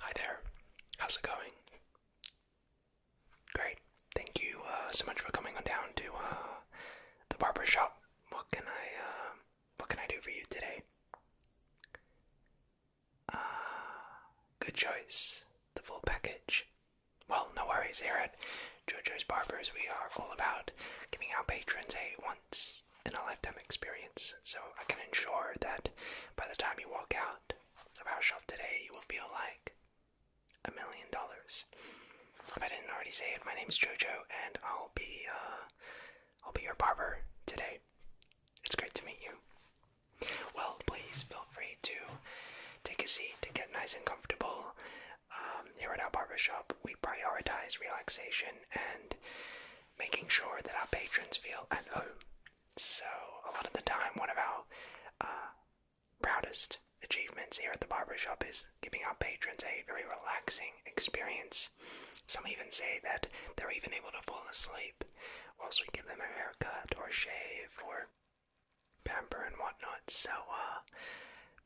Hi there. How's it going? Great. Thank you uh, so much for coming on down to uh, the barber shop. What can I uh, what can I do for you today? Ah, good choice. The full package. Well, no worries. Here at JoJo's Barbers, we are all about giving our patrons a once in a lifetime experience. So I can ensure that by the time you walk out of our shop today, you will feel like a million dollars. If I didn't already say it, my name is Jojo, and I'll be uh, I'll be your barber today. It's great to meet you. Well, please feel free to take a seat to get nice and comfortable. Um, here at our barbershop, we prioritize relaxation and making sure that our patrons feel at home. So, a lot of the time, one of our uh, proudest achievements here at the barbershop is giving our patrons a very relaxing experience. Some even say that they're even able to fall asleep whilst we give them a haircut or a shave or pamper and whatnot. So, uh,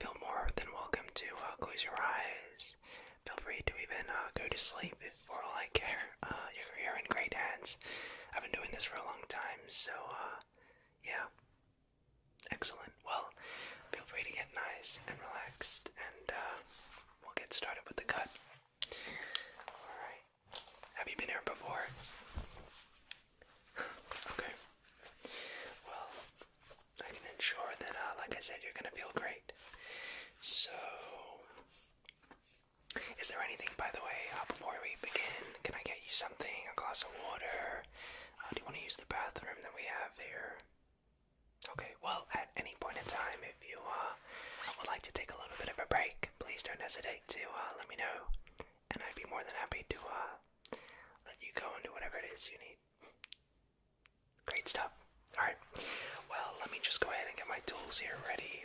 feel more than welcome to uh, close your eyes Feel free to even uh, go to sleep for all I care. Uh, you're, in great hands. I've been doing this for a long time, so uh, yeah. Excellent. Well, feel free to get nice and relaxed, and we'll get started with the cut. Alright. Have you been here before? okay. Well, I can ensure that, uh, like I said, you're gonna feel great. So, is there anything, by the way, uh, before we begin? Can I get you something? A glass of water? Uh, do you want to use the bathroom that we have here? Okay, well, at any point in time, if you would like to take a little bit of a break, please don't hesitate to let me know, and I'd be more than happy to let you go into whatever it is you need. Great stuff. Alright, well, let me just go ahead and get my tools here ready.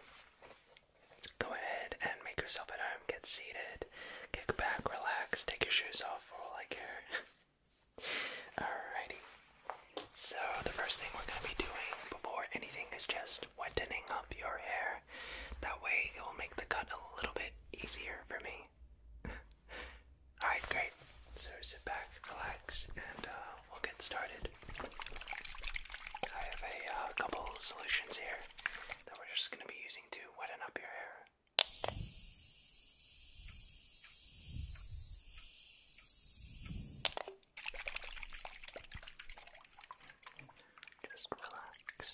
Go ahead and make yourself at home, get seated, kick back, relax, take your shoes off for all I care. Alrighty. So, the first thing we're going to be doing before anything is just wetting up your hair. That way, it will make the cut a little bit easier for me. Alright, great. So sit back, relax, and uh, we'll get started. I have a uh, couple solutions here that we're just going to be using to weten up your hair. Just relax.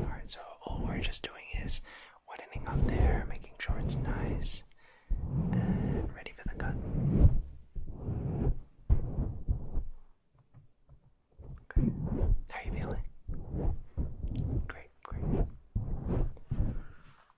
Alright, so all we're just doing is wetting up there, making sure it's nice and ready for the cut. How are you feeling? Great, great.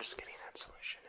Just getting that solution in.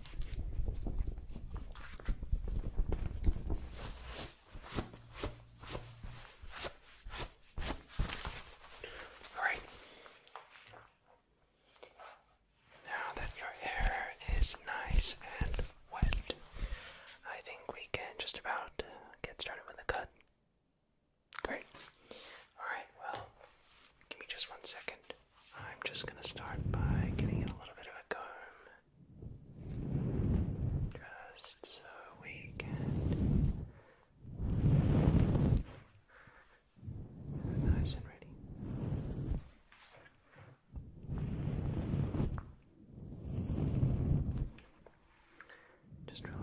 All right. Now that your hair is nice and wet, I think we can just about get started with the cut. Great. All right, well, give me just one second. I'm just going to start by getting in a little bit of a comb, just so we can. Nice and ready. Just relax.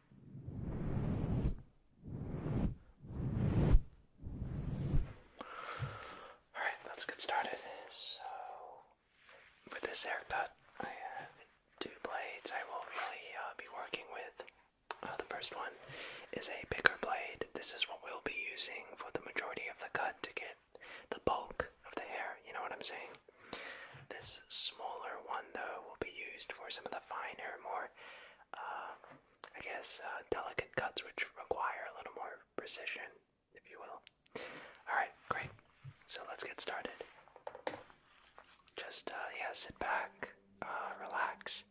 Alright, let's get started. So, with this haircut, I have two blades I will really uh, be working with. Uh, the first one is a bigger blade. This is what we'll be using for the majority of the cut to get the bulk of the hair, you know what I'm saying? This smaller one, though, will be used for some of the finer, more uh, I guess, uh, delicate cuts which require a little more precision, if you will. Alright, great. So let's get started. Just, uh, yeah, sit back, uh, relax.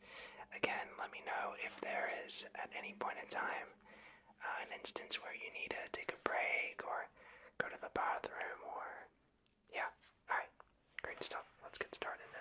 Again, let me know if there is, at any point in time, uh, an instance where you need to take a break or go to the bathroom or yeah, alright. Great stuff. Let's get started then.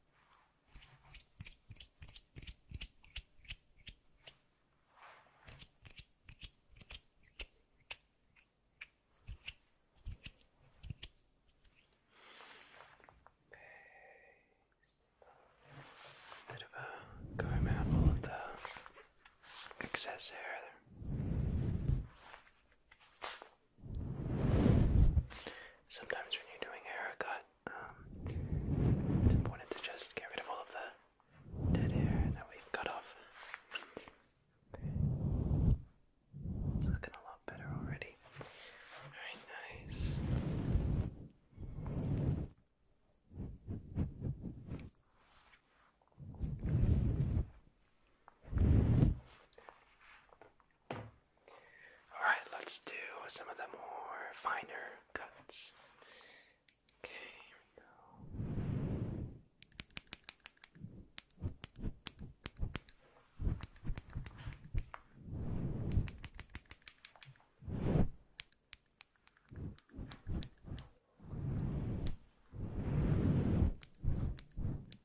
A bit of a comb apple of the excess hair Sometimes when you're doing a haircut, it's um, important to just get rid of all of the dead hair that we've cut off. It's looking a lot better already. Alright, nice. Alright, let's do some of the more finer cuts.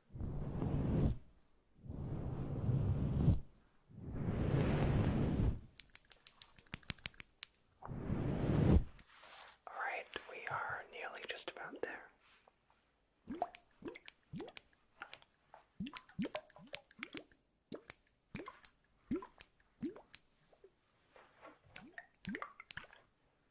Alright, we are nearly just about there.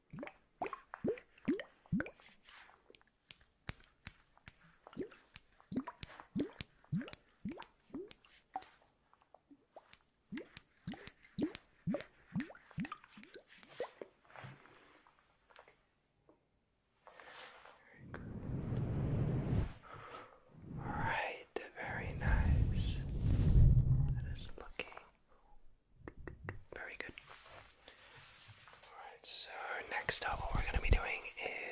Very good. All right, very nice. That is looking very good. Alright, so next up, what we're going to be doing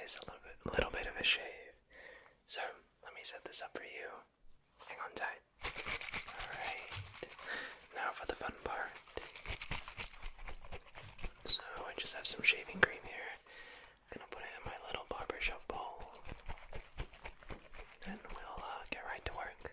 is a little bit, little bit of a shave. So let me set this up for you. Hang on tight. Alright, now for the fun part. So I just have some shaving cream here. I'm gonna put it in my little barbershop bowl. And we'll uh, get right to work.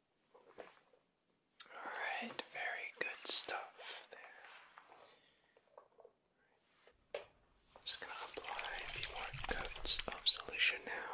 Alright, very good stuff there. just going to apply a few more coats of solution now.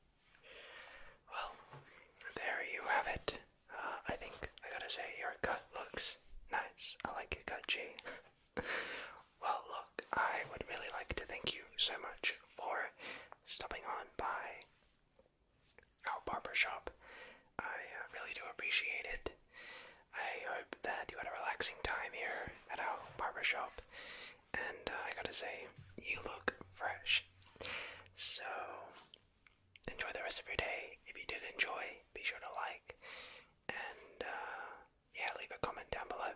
Well, there you have it. Uh, I think I gotta say your cut looks nice. I like your cut, G. well, look, I would really like to thank you so much for stopping on by our barber shop. I uh, really do appreciate it. I hope that you had a relaxing time here at our barber shop and uh, I gotta say, you look fresh. So, enjoy the rest of your day. If you did enjoy, be sure to like, and uh, yeah, leave a comment down below.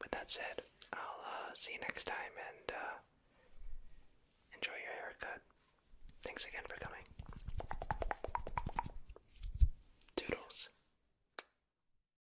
With that said, I'll uh, see you next time and enjoy your haircut. Thanks again for coming. Doodles.